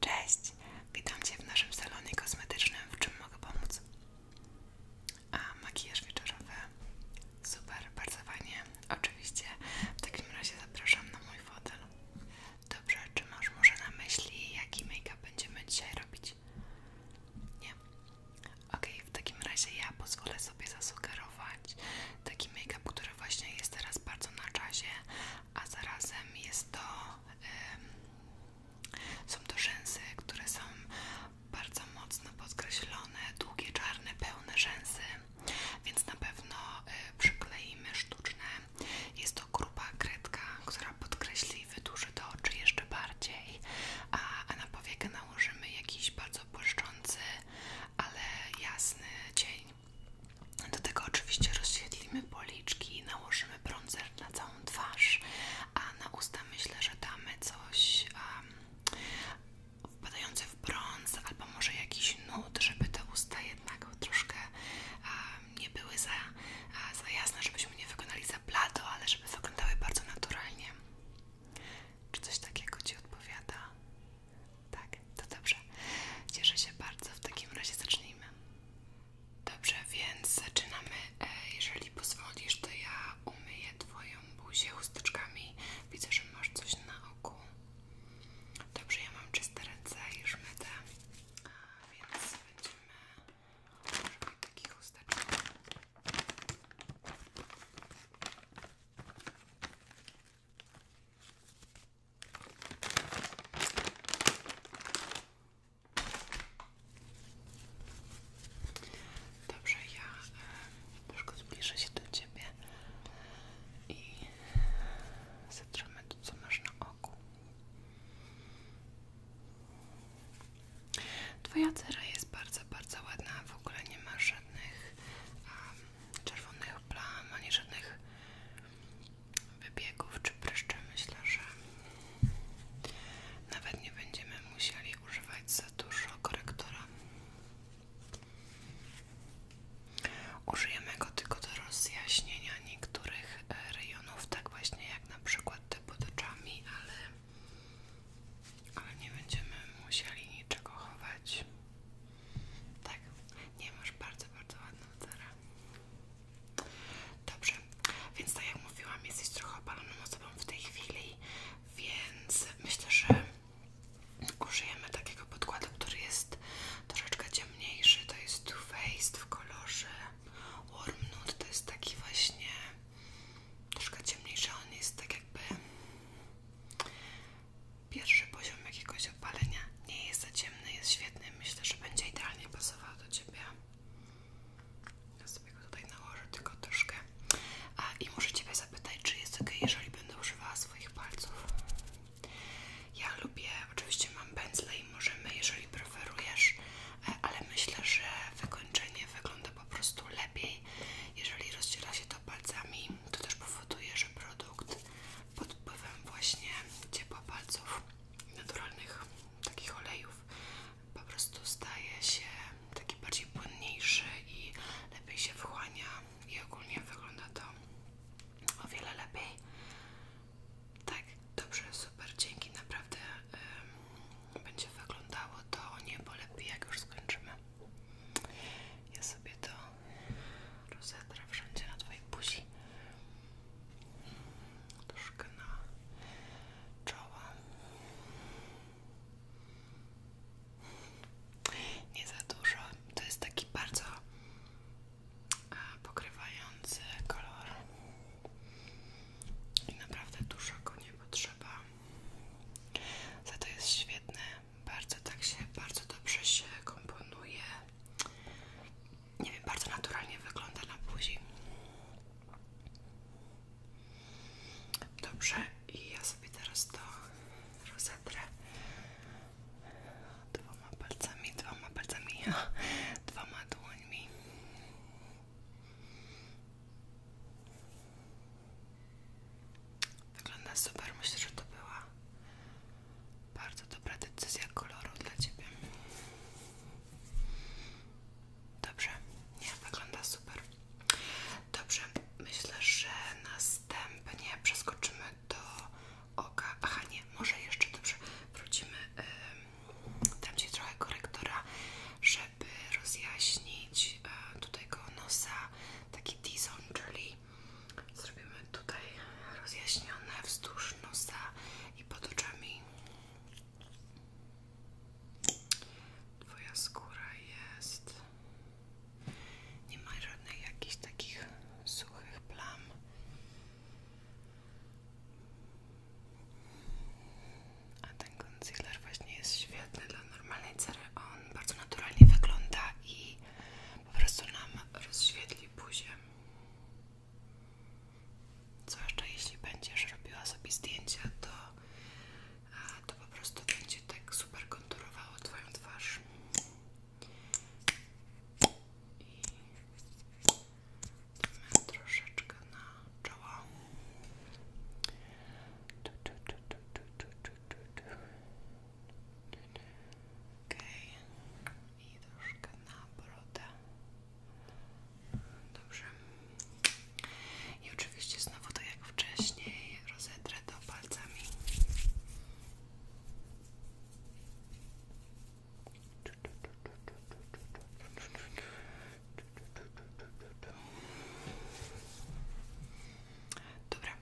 Cześć, witam Cię w naszym salonie kosmetycznym, w czym mogę pomóc? A makijaż wieczorowy? Super, bardzo fajnie. Oczywiście, w takim razie zapraszam na mój fotel. Dobrze, czy masz może na myśli, jaki make-up będziemy dzisiaj robić? Nie? Okej, w takim razie ja pozwolę sobie zasugerować taki make-up, który właśnie jest teraz bardzo na czasie, a zarazem jest to, są to rzęsy, które są bardzo mocno podkreślone, długie, czarne, pełne rzęsy, więc na pewno e, przykleimy sztuczne. Jest to gruba kredka, która podkreśli i wydłuży to oczy jeszcze bardziej, a, a na powiekę nałożymy jakiś bardzo błyszczący, ale jasny cień. Do tego oczywiście rozświetlimy policzki nałożymy bronzer na całą twarz, a na usta myślę, że damy coś wpadające w brąz albo może jakiś nut, żeby te usta jednak troszkę nie były za, za jasne, żebyśmy nie wykonali za plato, ale żeby wyglądały bardzo naturalnie. Czy coś takiego Ci odpowiada? Tak, to dobrze. Cieszę się bardzo. W takim razie zacznijmy. Dobrze, więc zaczynamy. E, jeżeli pozwolisz, to ja umyję Twoją buzię chusteczkami. Widzę, że masz coś na oku. Dobrze, ja mam czyste ręce, i już myte. Więc będziemy używać takich chusteczek. Dobrze, ja troszkę zbliżę się do ciebie i zatrzymamy to, co masz na oku. Twoja cera jest bardzo, bardzo ładna, w ogóle nie ma żadnych czerwonych plam, ani żadnych wybiegów czy pryszczy myślę, że nawet nie będziemy musieli używać za dużo korektora. Użyjemy go tylko do rozjaśnienia niektórych e, rejonów, tak właśnie jak na przykład te pod ale, ale nie będziemy musieli niczego chować. Tak, nie masz bardzo, bardzo ładną cerę. Dobrze, więc tak jak mówiłam, jesteś trochę opaloną osobą w tej chwili, więc myślę, że użyjemy takiego podkładu, który jest troszeczkę ciemniejszy. To jest Too Faced w kolorze Warm Nude. To jest taki właśnie troszkę ciemniejszy. On jest tak jakby Pierwszy poziom jakiegoś opalenia nie jest za ciemny, jest świetny. Myślę, że będzie idealnie pasował do Ciebie. Ja sobie go tutaj nałożę tylko troszkę. A, I muszę cię zapytać, czy jest ok, jeżeli będę używała swoich palców. Ja lubię, oczywiście mam pędzle i możemy, jeżeli preferujesz, e, ale myślę, że wykończenie wygląda po prostu lepiej. Jeżeli rozciera się to palcami, to też powoduje, że produkt pod wpływem właśnie ciepła palców naturalnych takich olejów po prostu staje się taki bardziej płynniejszy i lepiej się wchłania i ogólnie wygląda to o wiele lepiej tak, dobrze, super, dzięki naprawdę będzie wyglądało to niebo lepiej jak już skończymy ja sobie to w wszędzie na twojej buzi troszkę na czoło, nie za dużo, to jest taki bardzo pokrywający kolor i naprawdę dużo go nie potrzeba za to jest świetny bardzo tak się, bardzo dobrze się komponuje. Nie wiem, bardzo naturalnie wygląda na buzi. Dobrze, i ja sobie teraz to rozetrę dwoma palcami, dwoma palcami, dwoma dłońmi. Wygląda super, myślę, że to była bardzo dobra decyzja koloru dla Ciebie. Dobrze, nie, wygląda super. Dobrze, myślę, że następnie przeskoczymy do oka. Aha, nie, może jeszcze dobrze wrócimy. Dam Ci trochę korektora, żeby rozjaśnić e, tutaj go nosa taki dizon, czyli zrobimy tutaj rozjaśnione wzdłuż nosa i pod oczami. Twoja skóra jest. Nie ma żadnych jakichś takich suchych plam. A ten concealer właśnie jest świetny dla normalnej cery. On bardzo naturalnie wygląda i po prostu nam rozświetli buzię. Zwłaszcza jeśli będziesz robiła sobie zdjęcia, to, to po prostu będzie tak super konturowało Twoją twarz. I troszeczkę na czoło. Tu, tu, tu, Okej, i troszkę na brodę. Dobrze. I oczywiście znowu tak jak wcześniej rozetrę to palcami. Dobra,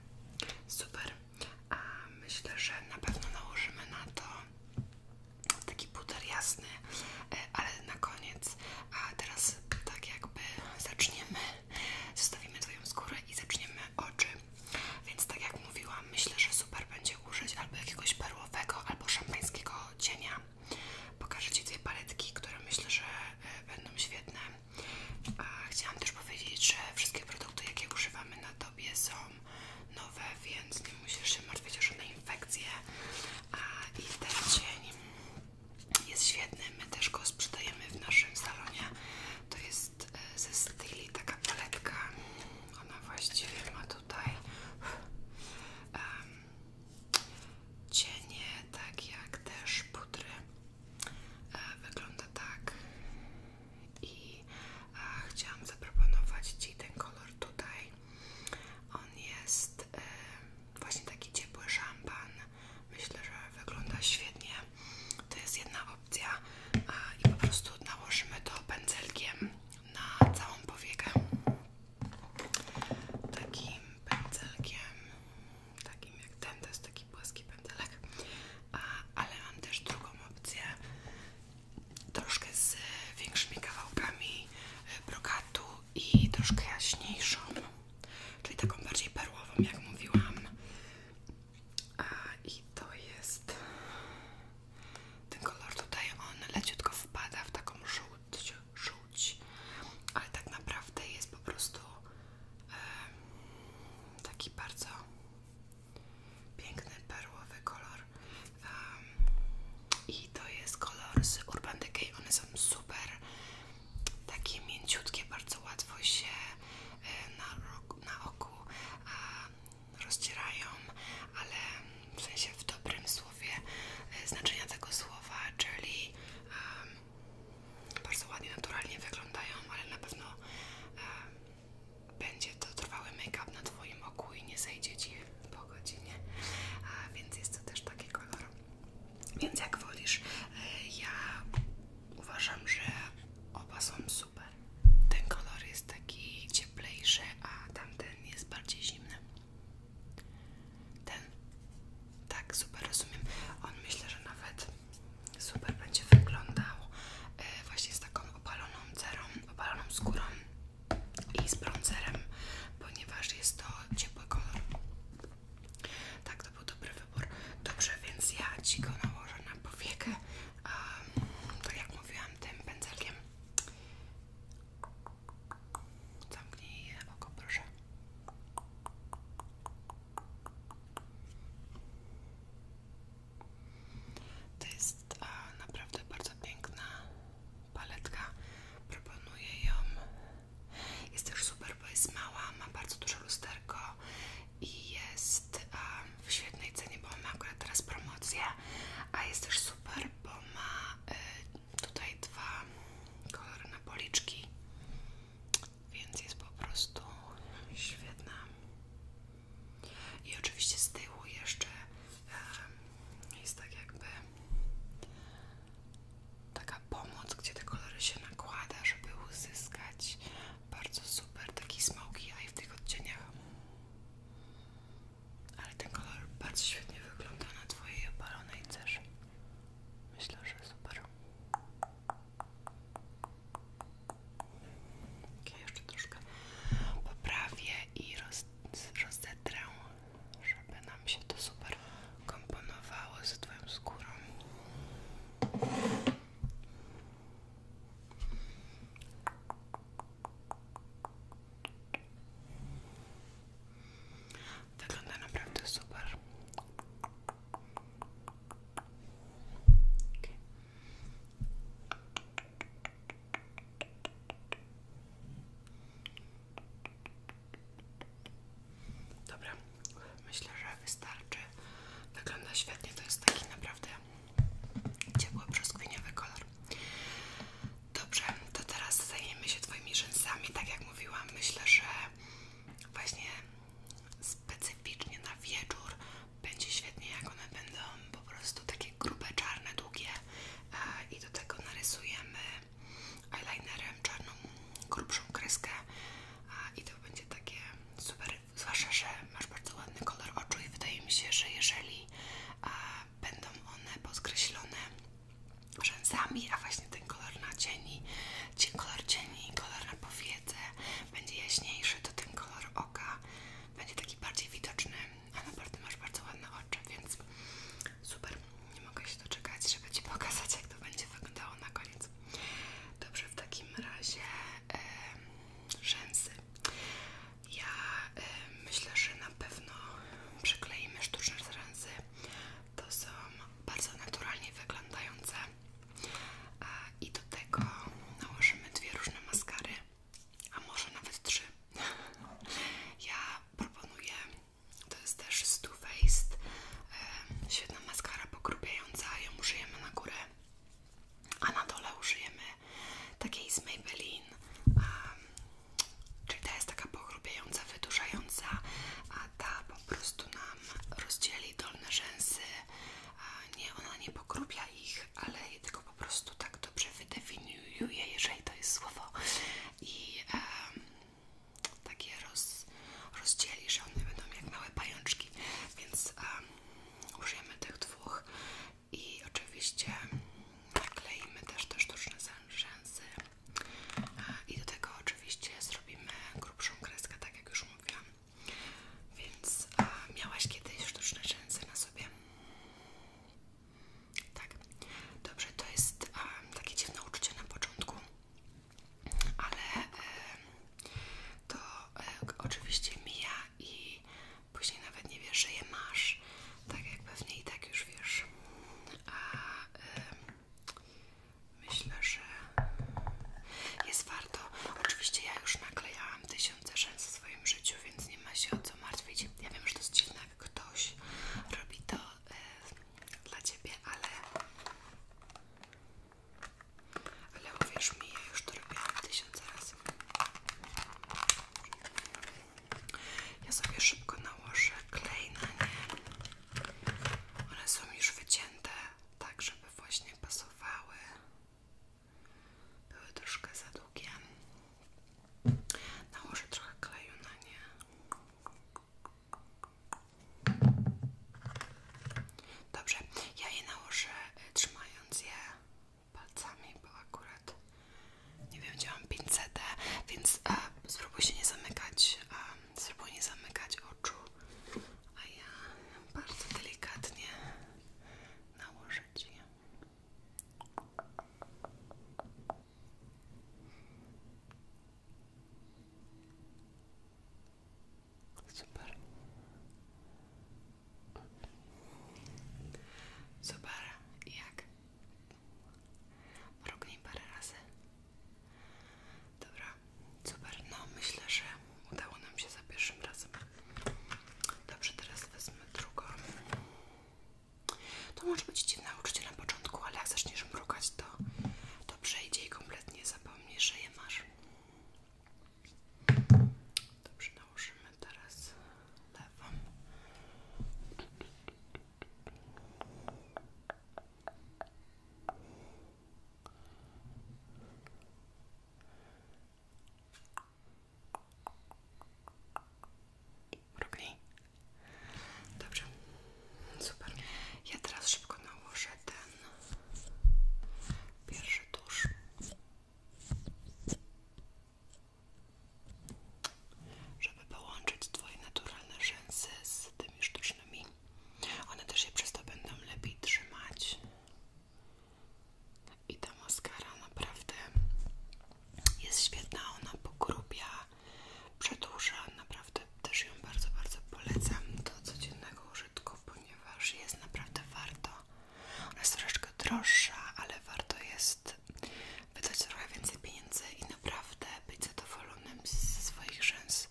super. A myślę, że na pewno nałożymy na to taki puder jasny, e, ale na koniec. A teraz tak jakby zaczniemy, zostawimy Twoją skórę i zaczniemy oczy. Więc tak jak mówiłam, myślę, że super będzie użyć albo jakiegoś perłowego, albo szampańskiego cienia. Pokażę Ci dwie paletki, które myślę, że e, będą świetne. Chciałam też powiedzieć, że wszystkie produkty, jakie używamy na tobie, są nowe, więc nie musisz się martwić o żadne infekcje. I ten cień jest świetny. My też go sprzedajemy w naszym salonie. To jest e, ze Styli taka paletka. Ona właściwie ma tutaj cienie, tak jak też pudry. E, wygląda tak i e, chciałam zaproponować Ci ten kolor tutaj. On jest e, właśnie taki ciepły szampan. Myślę, że wygląda świetnie. To jest jedna opcja i po prostu nałożymy to pędzelkiem na całą powiekę. Takim pędzelkiem takim jak ten, to jest taki płaski pętelek, ale mam też drugą opcję, troszkę z większymi kawałkami e, brokatu i troszkę jaśniejszą, czyli taką bardziej perłową, jak mówiłam. A, I to jest ten kolor tutaj, on leciutko wpada w taką żółć, żółć ale tak naprawdę jest po prostu taki bardzo piękny perłowy kolor i to jest kolor z Urban Decay, one są super takie mięciutkie, bardzo łatwo się e, na, na oku um, ale w sensie w dobrym słowie e, znaczenia tego słowa, czyli bardzo ładnie, naturalnie wyglądają, ale na pewno e, będzie to trwały make-up na Twoim oku i nie zejdzie Ci po godzinie, A, więc jest to też taki kolor. Więc jak wolisz, e, ja uważam, że oba są super. Ten kolor jest taki cieplejszy, a tamten jest bardziej zimny. Ten tak, super, rozumiem. On myślę, że nawet super będzie wyglądał e, właśnie z taką opaloną cerą, opaloną skórą i z bronzerem, ponieważ jest to ciepły kolor. Tak, to był dobry wybór. Dobrze, więc ja Ci go nałożę na powiekę, um, jak mówiłam, tym pędzelkiem. Zamknij oko, proszę. To jest e, naprawdę bardzo piękna paletka. Proponuję ją. Jest też super, bo jest mała, ma bardzo duże lusterko i jest e, w świetnej cenie, bo ma akurat teraz promocję. A jest też super, bo ma e, tutaj dwa kolory na policzki więc jest po prostu świetna. I oczywiście z tyłu jeszcze jest tak jakby taka pomoc, gdzie te kolory się nakłada, żeby uzyskać bardzo super taki smoky eye w tych odcieniach. Ale ten kolor bardzo świetnie wygląda na twojej opalonej cerze. Myślę, że super. Ja jeszcze troszkę poprawię i roz, żeby nam się to super komponowało z Twoją skórą. Wygląda naprawdę super. Okay. myślę, że wystarczy. Wygląda świetnie, to jest taki naprawdę ciepły, brzoskwiniowy kolor. Dobrze, to teraz zajmiemy się Twoimi rzęsami. Tak jak mówiłam, myślę, że właśnie specyficznie na wieczór będzie świetnie, jak one będą po prostu takie grube, czarne, długie i do tego narysujemy eyelinerem czarną, grubszą kreskę i to będzie takie super, zwłaszcza, że masz bardzo ładny kolor oczu i wydaje mi się, że jeżeli będą one podkreślone rzęsami, a właśnie ten kolor na cieni, ci kolor cieni kolor na powiedzę będzie jaśniejszy, to ten kolor oka będzie taki bardziej widoczny, a naprawdę masz bardzo ładne oczy, więc super, nie mogę się doczekać, żeby Ci pokazać jak to będzie wyglądało na koniec. Dobrze, w takim razie e, rzęsy. Ja myślę, że na pewno przykleimy sztuczne rzęsy to są bardzo naturalnie wyglądające i do tego nałożymy dwie różne maskary, a może nawet trzy. Ja proponuję, to jest też z Too Faced, świetna maskara pokrupiająca, ją użyjemy na górę, a na dole użyjemy takiej z Maybelline, czyli ta jest taka pokrupiająca, wydłużająca, ta po prostu nam rozdzieli dolne rzęsy. Nie, ona nie pogrubia ich, ale tylko po prostu tak dobrze wydefiniuje, jeżeli to jest słowo. I um, takie roz, rozdzieli, że one będą jak małe pajączki. Więc użyjemy tych dwóch i oczywiście nakleimy też te sztuczne rzęsy i do tego oczywiście zrobimy grubszą kreskę, tak jak już mówiłam. Więc miałaś kiedyś sztuczne rzęsy na sobie? Tak. Dobrze, to jest takie dziwne uczucie na początku, ale e, to e, oczywiście mija i później nawet nie wiesz, że je masz. Tak jak pewnie i tak już wiesz. A, myślę, że jest warto. Oczywiście ja już naklejałam tysiące rzęs w swoim życiu, więc nie ma się o co martwić. Ja wiem, że to jest dziwne, jak ktoś robi to e, dla Ciebie, ale ale uwierz mi, ja już to robiłam tysiące razy. Ja sobie szybko nałożę klej na nie. One są już wycięte tak, żeby właśnie pasowały. Były troszkę za długie. Nałożę no, trochę kleju na nie. Dobrze, ja je nałożę y, trzymając je palcami, bo akurat nie wiem, gdzie mam pincetem, więc Spróbuj się nie zamykać, spróbuj nie zamykać oczu, a ja bardzo delikatnie nałożę cię. je. Super. Super, jak Mrugnij parę razy. Dobra, super. No myślę, że udało nam się za pierwszym razem. Dobrze, teraz wezmę drugą. To może być dziwne uczucie na początku, ale jak zaczniesz mrugać, to, to przejdzie i kompletnie zapomnisz, że je masz. Dobrze, nałożymy teraz lewą. Mrugnij. Dobrze. Super. Ja teraz szybko nałożę ten pierwszy tusz żeby połączyć Twoje naturalne rzęsy z tymi sztucznymi. One też się przez to będą lepiej trzymać. I ta maskara naprawdę jest świetna, ona pogrubia, przedłuża, naprawdę też ją bardzo, bardzo polecam do codziennego użytku, ponieważ jest naprawdę warto. Ona jest troszeczkę droższa, ale warto jest wydać trochę więcej pieniędzy i naprawdę być zadowolonym ze swoich rzęs.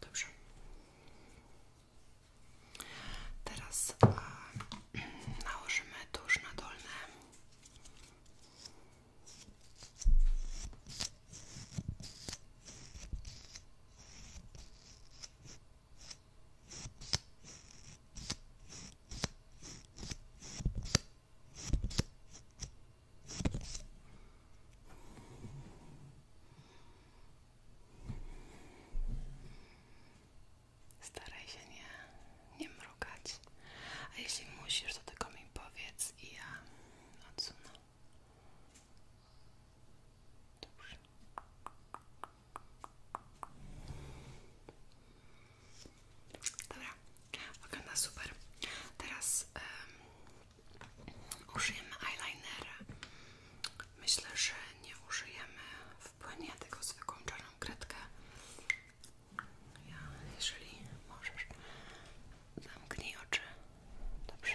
Dobrze. Teraz a, nałożymy tuż na dolne. Staraj się nie, nie mrugać, a jeśli musisz, to tylko mi powiedz i ja odsunę. Dobra, wygląda super. Teraz użyjemy eyeliner. Myślę, że nie użyjemy w płynie tego zwykłą czarną kredkę. Ja, jeżeli możesz, zamknij oczy. Dobrze.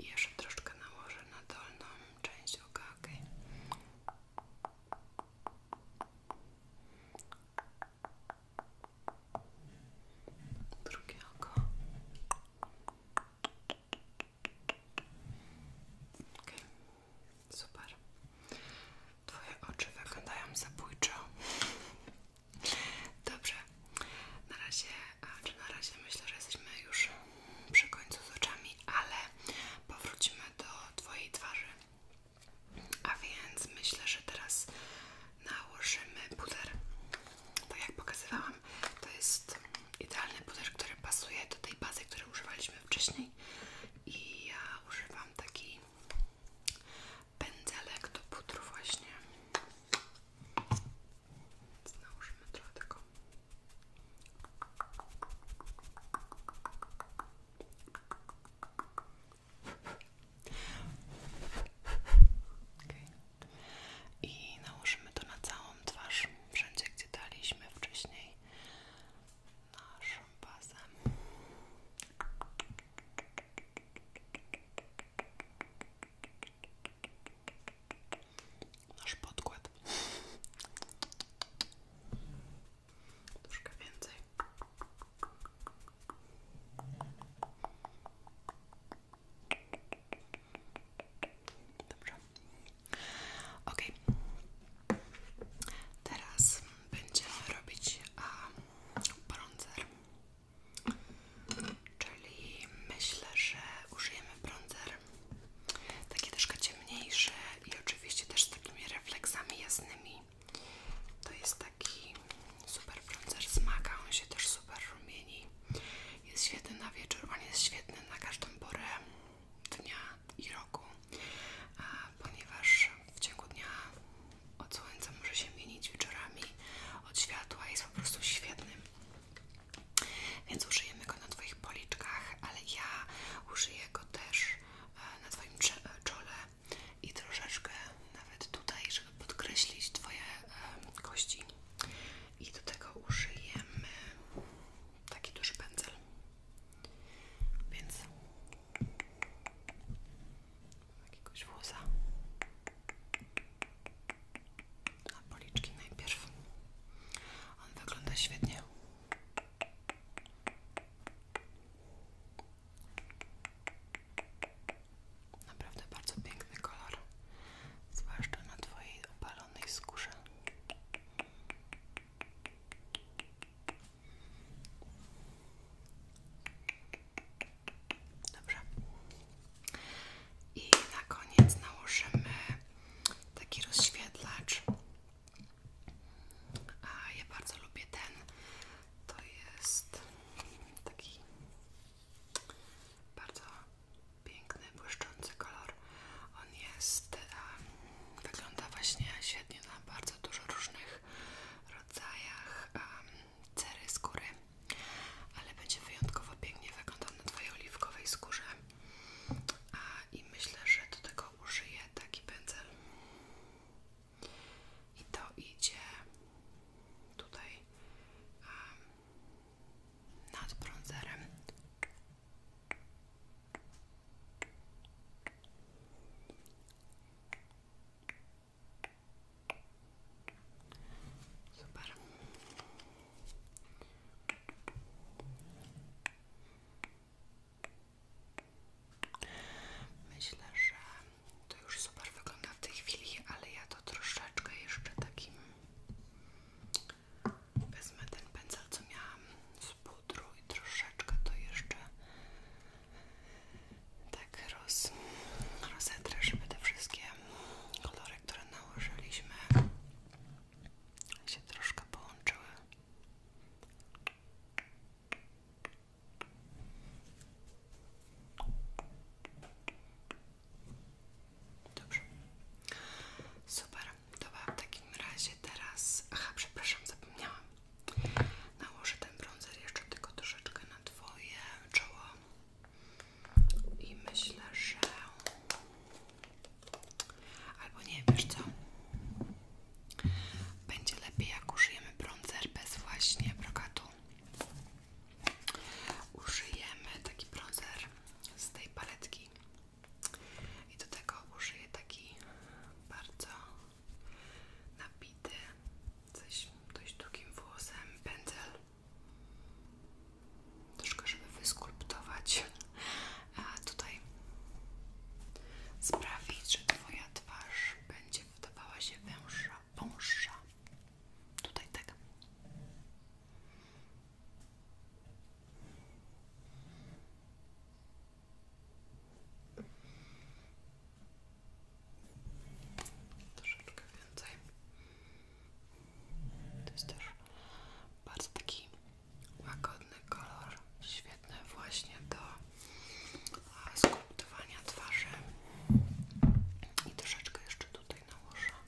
I jeszcze troszkę nałożę na dolną część oka, ok? Drugie oko. super. Twoje oczy wyglądają zabójczo. Dobrze, na razie a czy na razie myślę, że jesteśmy już przy końcu z oczami, ale powrócimy do Twojej twarzy. A więc myślę, że teraz nałożymy puder. Tak jak pokazywałam, to jest idealny puder, który pasuje do tej bazy, której używaliśmy wcześniej. I ja używam taki pędzelek do pudru właśnie. Więc nałożymy trochę tego i nałożymy to na całą twarz, wszędzie gdzie daliśmy wcześniej naszą bazę nasz podkład troszkę więcej dobrze ok teraz będziemy robić bronzer Czyli myślę, że użyjemy bronzer taki troszkę ciemniejszy i oczywiście też z takimi refleksami jasnymi. To jest taki super bronzer zmaga on się też super rumieni. Jest świetny na wieczór, on jest świetny na każdą porę dnia i roku, ponieważ w ciągu dnia od słońca może się mienić wieczorami od światła, jest po prostu świetny. Więc użyjemy go na Twoich policzkach, ale ja użyję go też e, na Twoim e, czole i troszeczkę nawet tutaj, żeby podkreślić Twoje kości. I do tego użyjemy taki duży pędzel. Więc jakiegoś włosa. A policzki najpierw. On wygląda świetnie. Naprawdę bardzo piękny kolor, zwłaszcza na Twojej opalonej skórze. Dobrze, i na koniec nałożymy taki rozświetlacz. ja bardzo lubię ten. To jest taki bardzo piękny, błyszczący kolor. On jest, wygląda właśnie świetnie na bardzo dużo różnych rodzajach um, cery skóry ale będzie wyjątkowo pięknie wyglądał na Twojej oliwkowej skórze. A, I myślę, że do tego użyję taki pędzel. I to idzie tutaj nad bronzerem. Super. Myślę, że to już super wygląda w tej chwili, ale ja to troszeczkę jeszcze takim wezmę ten pędzel, co miałam z pudru i troszeczkę to jeszcze tak roz, rozetrę, żeby te wszystkie kolory które nałożyliśmy się troszkę połączyły. Dobrze. Super. Dobra, w takim razie teraz... Aha, przepraszam, zapomniałam. Nałożę ten bronzer jeszcze tylko troszeczkę na Twoje czoło. I myślę, że... Albo nie, wiesz co? Będzie lepiej, jak użyjemy bronzer bez właśnie brokatu. Użyjemy taki bronzer z tej paletki. I do tego użyję taki bardzo napity coś dość długim włosem, pędzel troszkę, żeby wyskulptować a tutaj sprawić, że Twoja twarz będzie wydawała się węższa, wąższa tutaj tak troszeczkę więcej. To jest też bardzo taki łagodny kolor, świetny właśnie do skulptowania twarzy. I troszeczkę jeszcze tutaj nałożę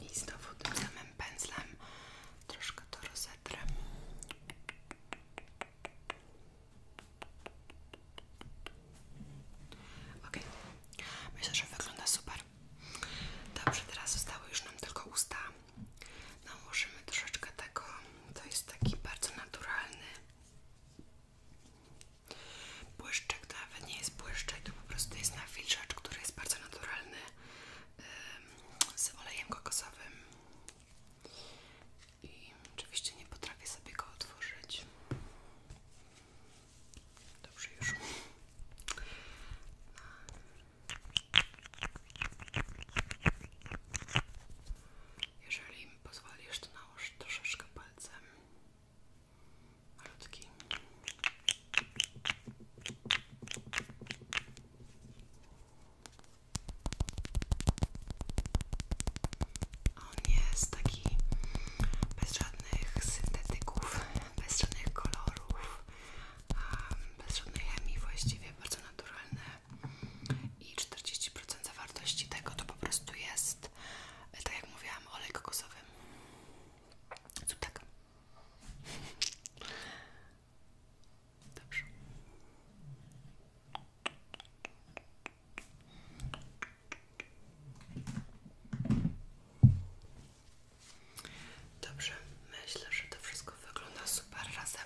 i znowu tym samym pędzlem troszkę to rozetrę. Ok, myślę, że wygląda super. Dobrze, teraz zostały już nam tylko usta. Nałożymy troszeczkę tego. To jest taki bardzo naturalny błyszczek. To nawet nie jest błyszczek, to po prostu jest nawilżacz, który jest bardzo naturalny z olejem kokosowym i oczywiście nie potrafię sobie go otworzyć dobrze już jeżeli mi pozwolisz to nałóż troszeczkę palcem malutki. On jest taki bez żadnych syntetyków, bez żadnych kolorów, bez żadnej chemii właściwie, bardzo naturalny i 40% zawartości tego to po prostu jest, tak jak mówiłam, olej kokosowy. Zrób tak. Dobrze. Dobrze, myślę, że to wszystko wygląda super razem.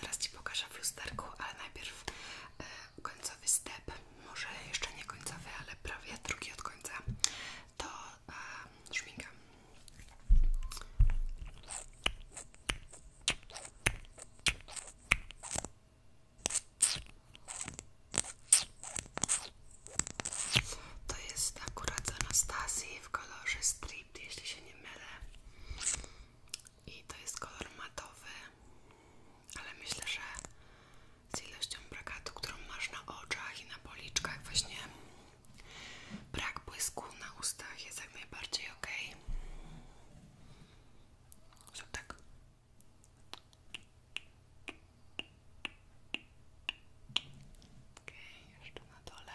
Zaraz Ci pokażę w lusterku, ale najpierw e, końcowy step. Może jeszcze nie końcowy, ale prawie drugi od końca to e, To jest akurat z w kolorze Strip, jeśli się nie mylę. I to jest kolor matowy, ale myślę, że z ilością brakatu, którą masz na oczach i na policzkach, właśnie brak błysku na ustach jest jak najbardziej ok. Zrób tak. Okej, jeszcze na dole.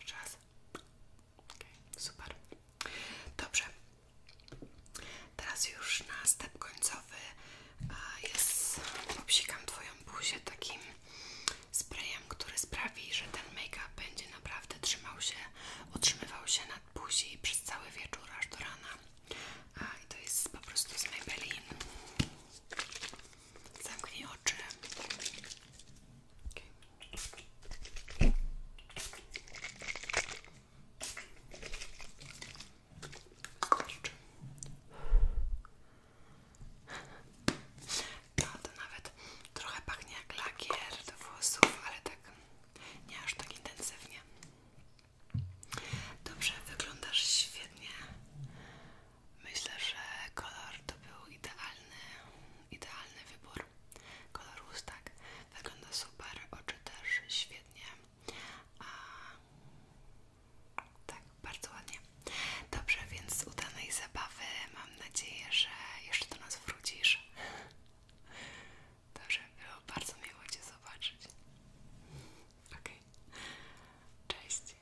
Jeszcze raz. Okay, super. Dobrze. Teraz już na step końcowy jest obsikam Twoją buzię takim sprayem, który sprawi, że ten make-up będzie naprawdę trzymał się, utrzymywał się nad buzi przez cały wieczór aż do rana. A, to jest po prostu z Maybelline. Zamknij oczy. Okay. No to nawet trochę pachnie jak lakier do włosów, ale tak nie aż tak intensywnie. Dobrze, wyglądasz świetnie. Myślę, że kolor to był idealny, idealny wybór. Kolor ust tak wygląda super, oczy też świetnie. A, tak, bardzo ładnie. Dobrze, więc z udanej zabawy mam nadzieję, że jeszcze do nas wrócisz. Dobrze, było bardzo miło Cię zobaczyć. Okej, cześć.